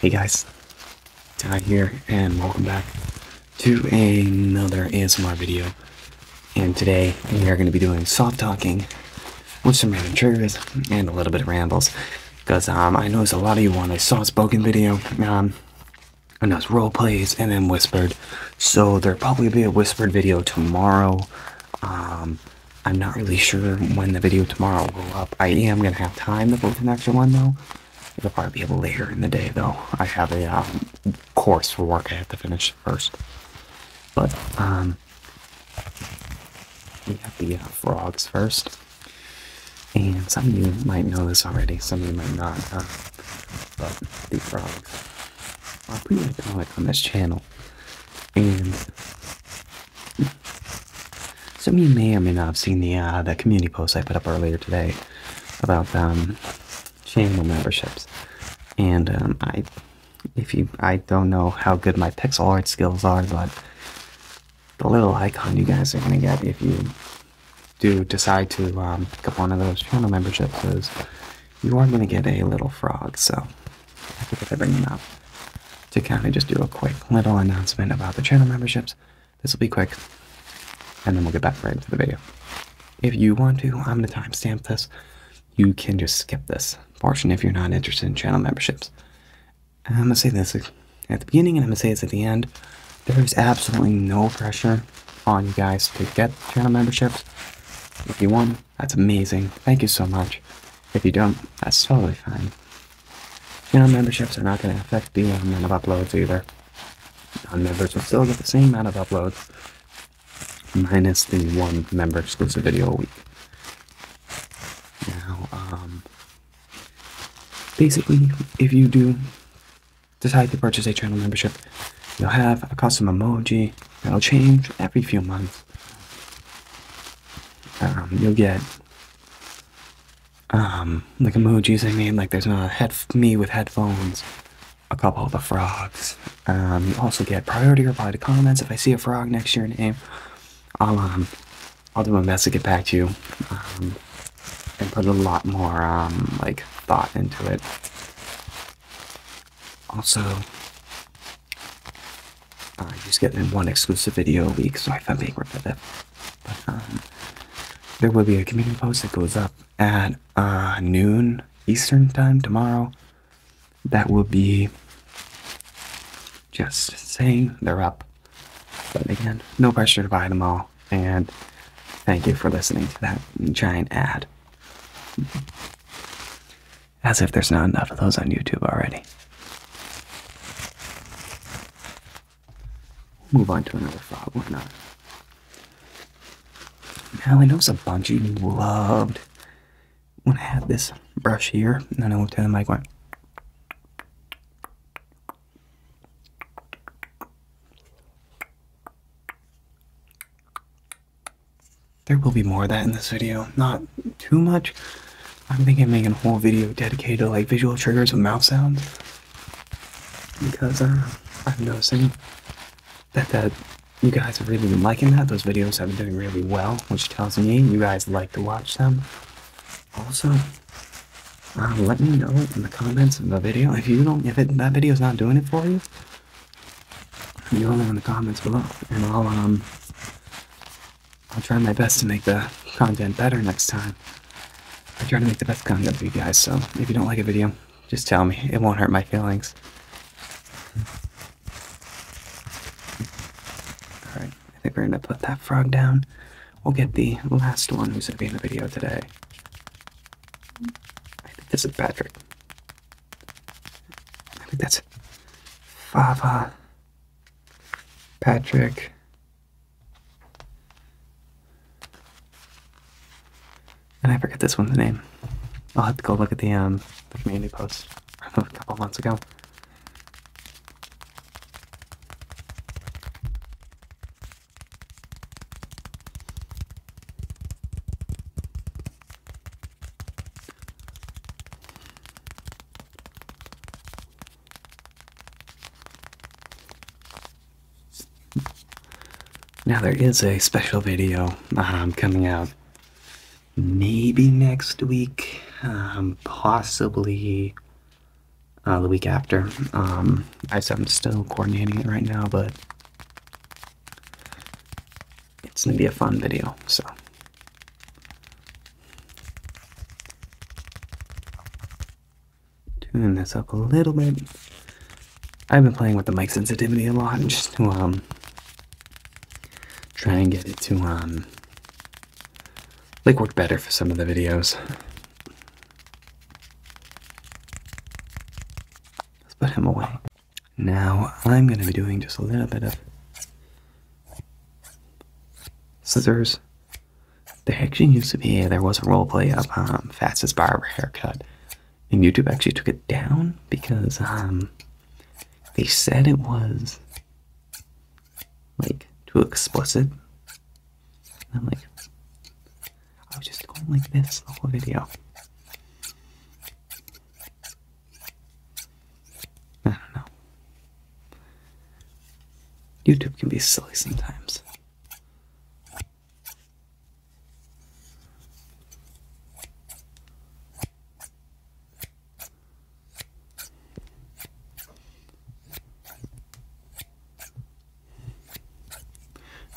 Hey guys, Ty here, and welcome back to another ASMR video. And today we are going to be doing soft talking with some random triggers and a little bit of rambles. Because um, I noticed a lot of you want a soft spoken video, um, and that's role plays and then whispered. So there'll probably be a whispered video tomorrow. Um, I'm not really sure when the video tomorrow will go up. I am going to have time to go an extra one though. It'll probably be later in the day though. I have a um, course for work I have to finish first. But um, we have the uh, frogs first. And some of you might know this already, some of you might not. Uh, but the frogs are pretty iconic on this channel. And some of you may or may not have seen the uh, the community post I put up earlier today about channel um, memberships, and um, I if you I don't know how good my pixel art skills are, but the little icon you guys are gonna get if you do decide to um, pick up one of those channel memberships you are gonna get a little frog. So I think if I bring them up to kind of just do a quick little announcement about the channel memberships. This will be quick, and then we'll get back right into the video. If you want to, I'm going to timestamp this. You can just skip this portion if you're not interested in channel memberships. I'm going to say this at the beginning, and I'm going to say this at the end. There is absolutely no pressure on you guys to get channel memberships. If you want, that's amazing. Thank you so much. If you don't, that's totally fine. Channel memberships are not going to affect the amount of uploads either. Non-members will still get the same amount of uploads, minus the one member exclusive video a week. Now, um, basically, if you do decide to purchase a channel membership, you'll have a custom emoji that'll change every few months. Um, you'll get um, like emojis. I mean, like there's a head me with headphones, a couple of the frogs. Um, you also get priority reply to comments. If I see a frog next to your name, I'll um, I'll do my best to get back to you, um, and put a lot more um, like thought into it. Also, uh, I just get in one exclusive video a week, so I found being repetitive. But um, there will be a community post that goes up at uh, noon Eastern time tomorrow. That will be just saying they're up. But again, no pressure to buy them all. And thank you for listening to that giant ad. As if there's not enough of those on YouTube already. Move on to another file, why not? Now I know it's a bunch you loved when I had this brush here, and then I moved to the mic on. There will be more of that in this video. Not too much, I'm thinking of making a whole video dedicated to like visual triggers with mouth sounds because uh, I'm noticing that that you guys have really been liking that. Those videos have been doing really well, which tells me you guys like to watch them. Also, uh, let me know in the comments of the video if you don't if that video is not doing it for you. let me know in the comments below, and I'll um I'll try my best to make the content better next time. I try to make the best content for you guys, so if you don't like a video, just tell me. It won't hurt my feelings. Alright, I think we're going to put that frog down. We'll get the last one who's going to be in the video today. I think this is Patrick. I think that's Fava. Patrick. And I forget this one's name. I'll have to go look at the um, the community post a couple months ago. Now there is a special video um, coming out maybe next week, um, possibly uh, the week after. Um, I am still coordinating it right now, but it's gonna be a fun video. So tune this up a little bit. I've been playing with the mic sensitivity a lot just to um try and get it to um like work better for some of the videos. Let's put him away. Now I'm gonna be doing just a little bit of scissors there actually used to be, there was a role play of um, Fastest Barber Haircut. And YouTube actually took it down because um, they said it was like too explicit. I'm like, I was just going like this the whole video. I don't know. YouTube can be silly sometimes.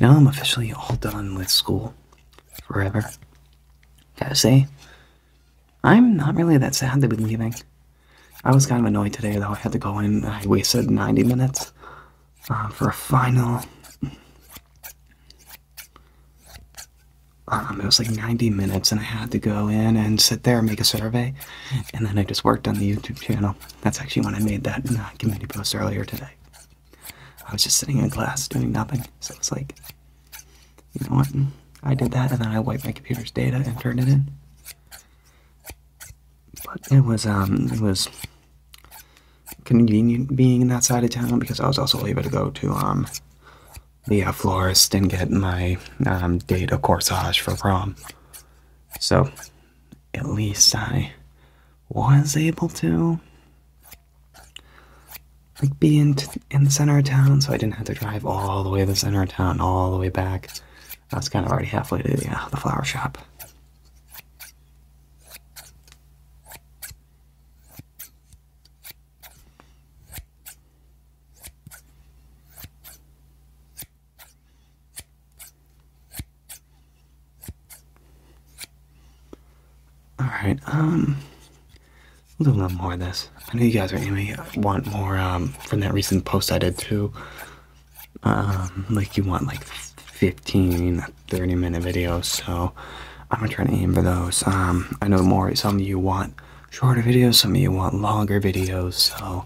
Now I'm officially all done with school forever. Gotta say, I'm not really that sad to be leaving. I was kind of annoyed today, though. I had to go in. I wasted 90 minutes uh, for a final. Um, it was like 90 minutes, and I had to go in and sit there and make a survey. And then I just worked on the YouTube channel. That's actually when I made that uh, community post earlier today. I was just sitting in class doing nothing. So it's like, you know what? I did that, and then I wiped my computer's data and turned it in but it was um it was convenient being in that side of town because I was also able to go to um the uh, florist and get my um, date a corsage for prom. So at least I was able to like be in, in the center of town so I didn't have to drive all the way to the center of town all the way back I was kind of already halfway to the, uh, flower shop. Alright, um, a little more of this. I know you guys are going want more um, from that recent post I did too um, like you want like 15 30 minute videos so i'm gonna try to aim for those um i know more some of you want shorter videos some of you want longer videos so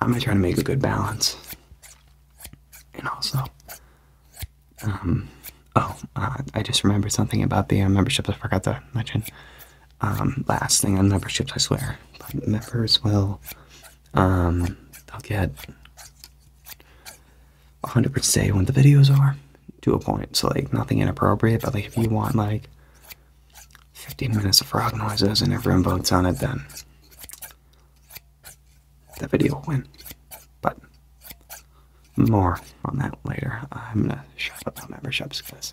i'm gonna try to make a good balance and also um oh uh, i just remembered something about the uh, membership i forgot to mention um, last thing on memberships, I swear. But members will, um, they'll get a 100% say when the videos are to a point. So, like, nothing inappropriate, but, like, if you want, like, 15 minutes of frog noises and everyone votes on it, then the video will win. But more on that later. I'm gonna shut up on memberships because,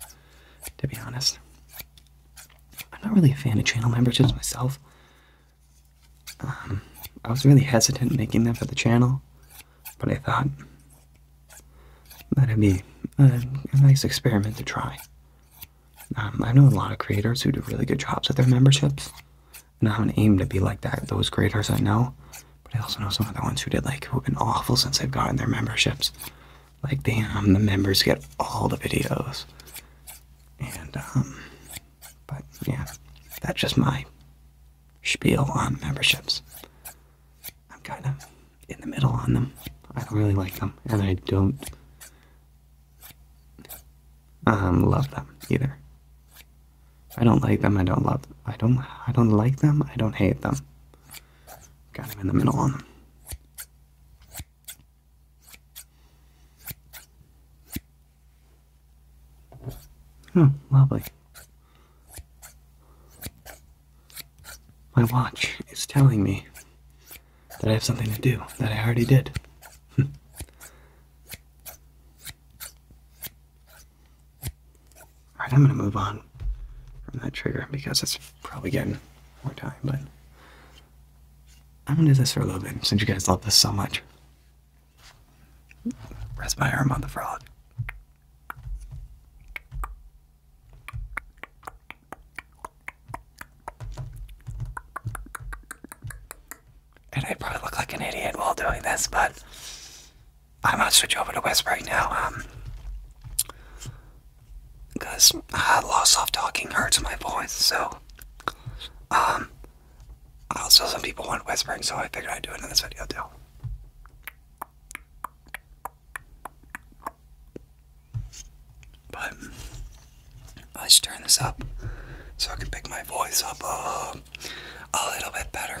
to be honest, I'm not really a fan of channel memberships myself. Um, I was really hesitant making them for the channel, but I thought that'd be a, nice experiment to try. Um, I know a lot of creators who do really good jobs with their memberships, and i have an aim to be like that. Those creators I know, but I also know some other ones who did like who've been awful since they've gotten their memberships like damn the members get all the videos and um but yeah that's just my spiel on memberships i'm kind of in the middle on them i don't really like them and i don't um love them either i don't like them i don't love them. i don't i don't like them i don't hate them kind of in the middle on them Oh, lovely. My watch is telling me that I have something to do that I already did. Alright, I'm gonna move on from that trigger because it's probably getting more time, but I'm gonna do this for a little bit since you guys love this so much. Rest my arm on the frog. And I probably look like an idiot while doing this, but I am might switch over to whispering now. Um, because uh, lost off talking hurts my voice. So, um, also some people want whispering, so I figured I'd do it in this video too. But I should turn this up so I can pick my voice up uh, a little bit better.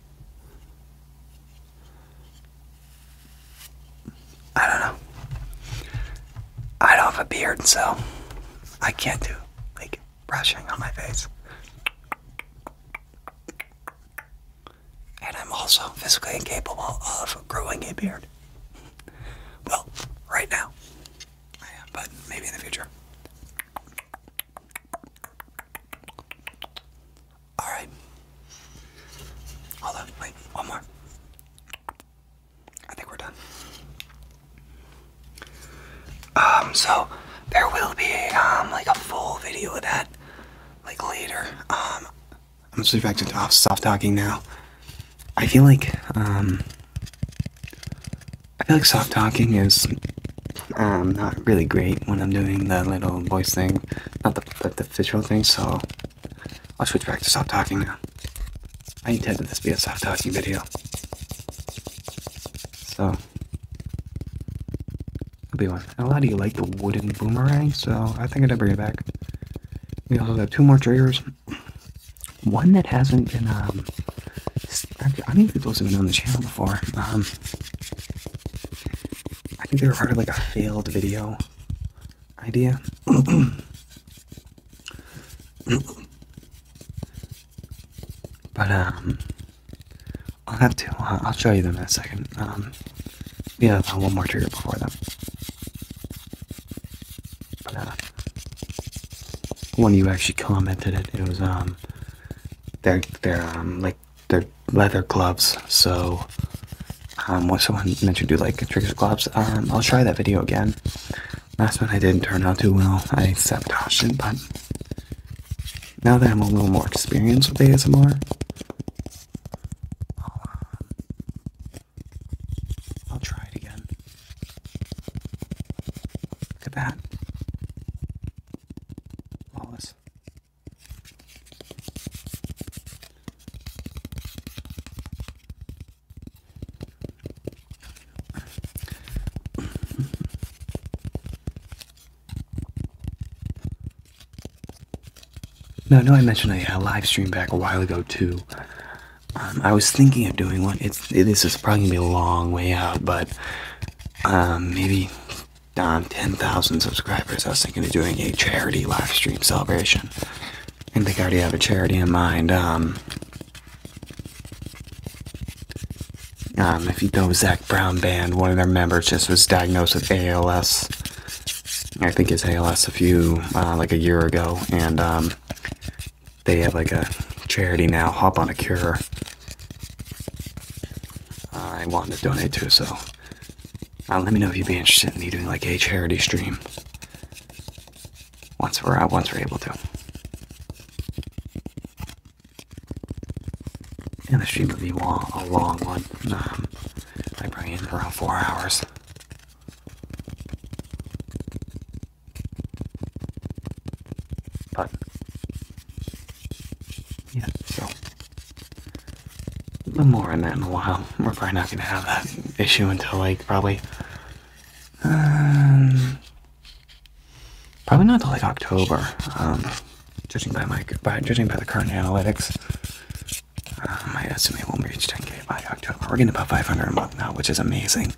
I don't know. I don't have a beard, so I can't do like brushing on my face. And I'm also physically incapable of growing a beard. Well, right now. I am, but maybe in the future. All right. Hold on. Wait. One more. I think we're done. Um. So there will be um like a full video of that like later. Um. I'm gonna switch back to soft talking now. I feel like um. I feel like soft talking is um not really great when I'm doing the little voice thing. Not the, the, the visual thing, so I'll switch back to soft talking now. I intended this to be a soft talking video. So, it'll be one. A lot of you like the wooden boomerang, so I think I'd bring it back. We also have two more triggers. One that hasn't been, um, I don't think those been on the channel before. Um, I think they were part of like a failed video idea. but um, I'll have to. Uh, I'll show you them in a second. Um, yeah, uh, one more trigger before them. Uh, one of you actually commented it. It was um, they're they're um like like they're leather gloves. So um, when someone mentioned do like tricks gloves, um, I'll try that video again. Last one I didn't turn out too well. I sabotaged it, but now that I'm a little more experienced with ASMR, I'll, try it again. Look at that. Lawless. No, no, I mentioned a, live stream back a while ago too. Um, I was thinking of doing one. it, this is probably gonna be a long way out, but um, maybe Dom, 10,000 subscribers. I was thinking of doing a charity live stream celebration. I think I already have a charity in mind. Um, um, if you know Zach Brown Band, one of their members just was diagnosed with ALS. I think it's ALS a few, uh, like a year ago. And um, they have like a charity now, Hop on a Cure. Uh, I wanted to donate to, so uh, let me know if you'd be interested in me doing like a charity stream once we're uh, once we're able to. And the stream would be long, a long one. I bring in around four hours. But yeah, so but more on that in a while. We're probably not going to have that issue until like probably. Um, probably not till like October. Um, judging by my by judging by the current analytics, um, I estimate we'll reach 10k by October. We're getting about 500 a month now, which is amazing.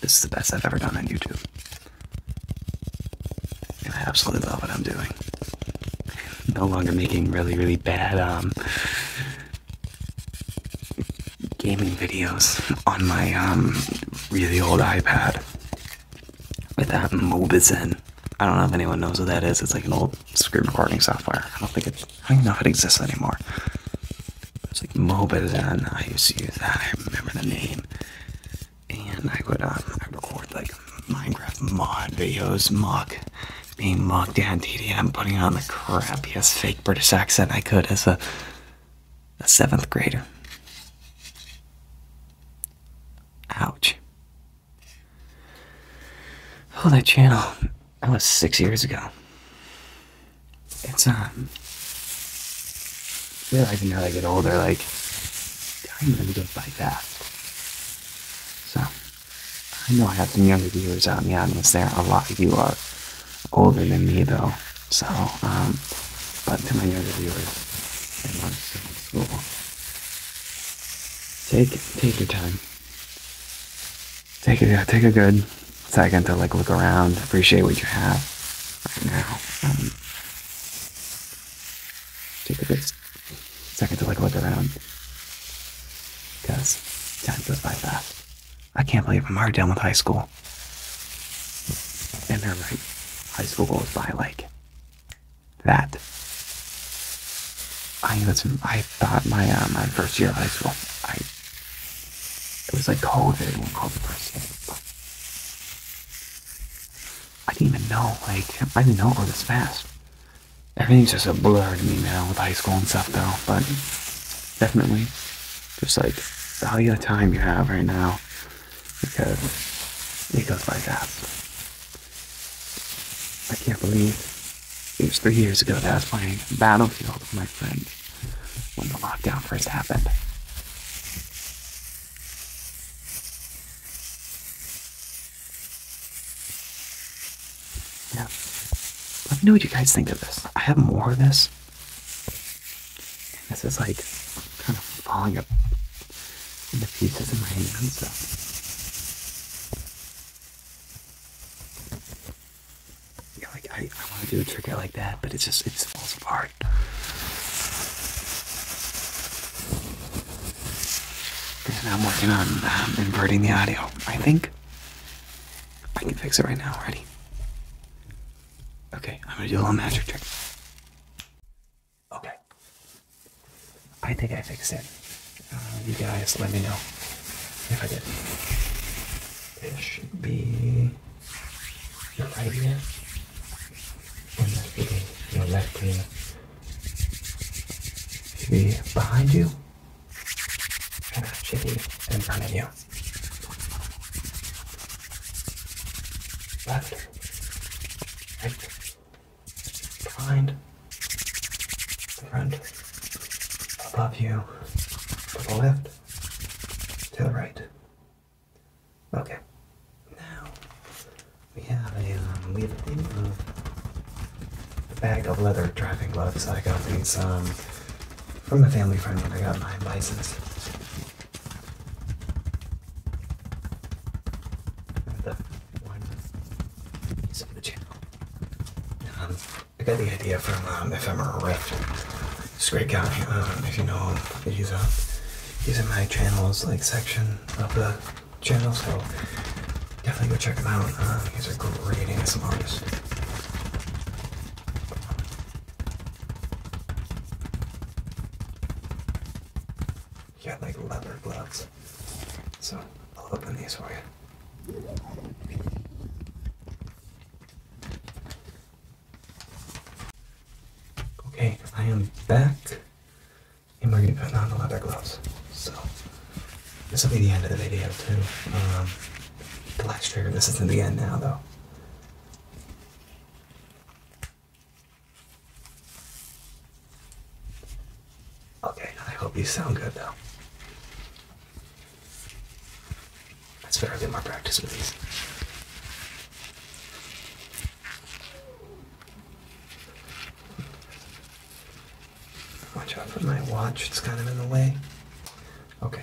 This is the best I've ever done on YouTube. And I absolutely love what I'm doing. No longer making really, really bad um, gaming videos on my um, really old iPad with that Mobizen. I don't know if anyone knows what that is. It's like an old screen recording software. I don't think it. I don't even know if it exists anymore. It's like Mobizen. I used to use that. I remember the name and I would um, record like Minecraft mod videos, mock being mocked at DDM, putting on the crappiest fake British accent I could as a a seventh grader. Ouch. Oh, that channel. That was six years ago. It's, um. realizing feel now I get older, like, time really goes by fast. So, I know I have some younger viewers out in the audience there. A lot of you are older than me, though. So, um, but to my younger viewers, I'm still in school. Take, take your time. Take a, take a good second to like look around, appreciate what you have right now. Um, take a good second to like look around. Because time goes by fast. I can't believe I'm already done with high school. And they're right. High school goes by like that. I that's I thought my uh, my first year of high school. I it was like COVID when COVID first hit. I didn't even know, like, I didn't know it was this fast. Everything's just a blur to me now with high school and stuff, though, but definitely just like value the time you have right now because it goes by fast. I can't believe it was three years ago that I was playing Battlefield with my friends when the lockdown first happened. Yeah. Let me know what you guys think of this. I have more of this. And this is like kind of falling up in the pieces in my hands. so. Yeah, like I, I want to do a trick like that, but it's just, it just falls apart. I'm working on um, inverting the audio. I think I can fix it right now already. Okay, I'm gonna do a little magic trick. Okay. I think I fixed it. Um, you guys let me know if I did. It should be your right ear, and that should be your left ear. Be behind you and actually in front of you. Left, right, behind, front, above you, to the left, to the right. Okay, now we have a um, we have a bag of leather driving gloves. I got these from a family friend when I got my license. The one piece of the channel. Um, I got the idea from um, Ephemera Rift. This great guy, um, if you know he's, uh, he's in my channels like section of the channel, so definitely go check them out. Uh, he's a great ASM artist. You got like leather gloves. So I'll open these for you. Okay, I am back in my on the leather gloves. So this will be the end of the video too. Um, the last trigger. This isn't the end now though. Okay, I hope you sound good though. That's better. Get more practice with these. Watch out for my watch, it's kind of in the way. Okay.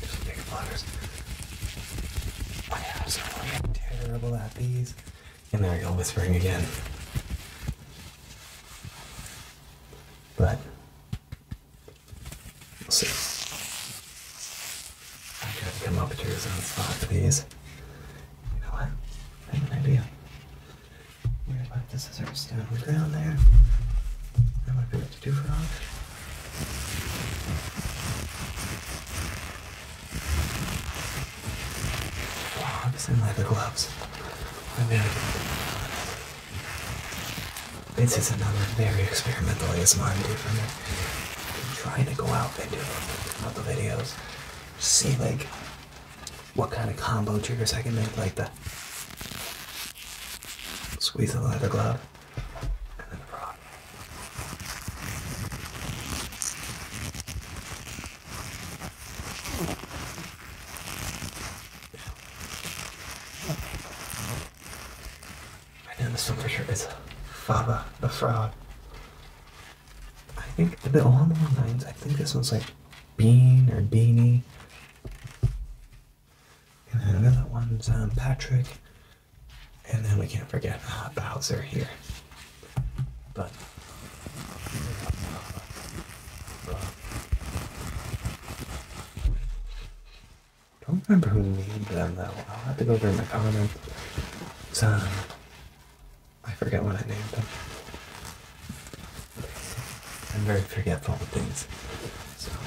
Just big flutters. I am so terrible at these. And there I go whispering again. But we'll see. I try to come up to his own spot, please. You know what? I have an idea. We're about the scissors down on the ground there to do for us. Wow, I'm just gloves. I mean, this is another very experimental ASMR video for me. I'm trying to go out and do other videos. See like what kind of combo triggers I can make, like the squeeze the leather glove and then the rod. I for sure is Faba the Frog. I think a bit along the lines, I think this one's like Bean or Beanie. And then another one's Patrick. And then we can't forget Bowser here. But. I Don't remember who named them though. I'll have to go through my comments. I forget what I named them. I'm very forgetful of things.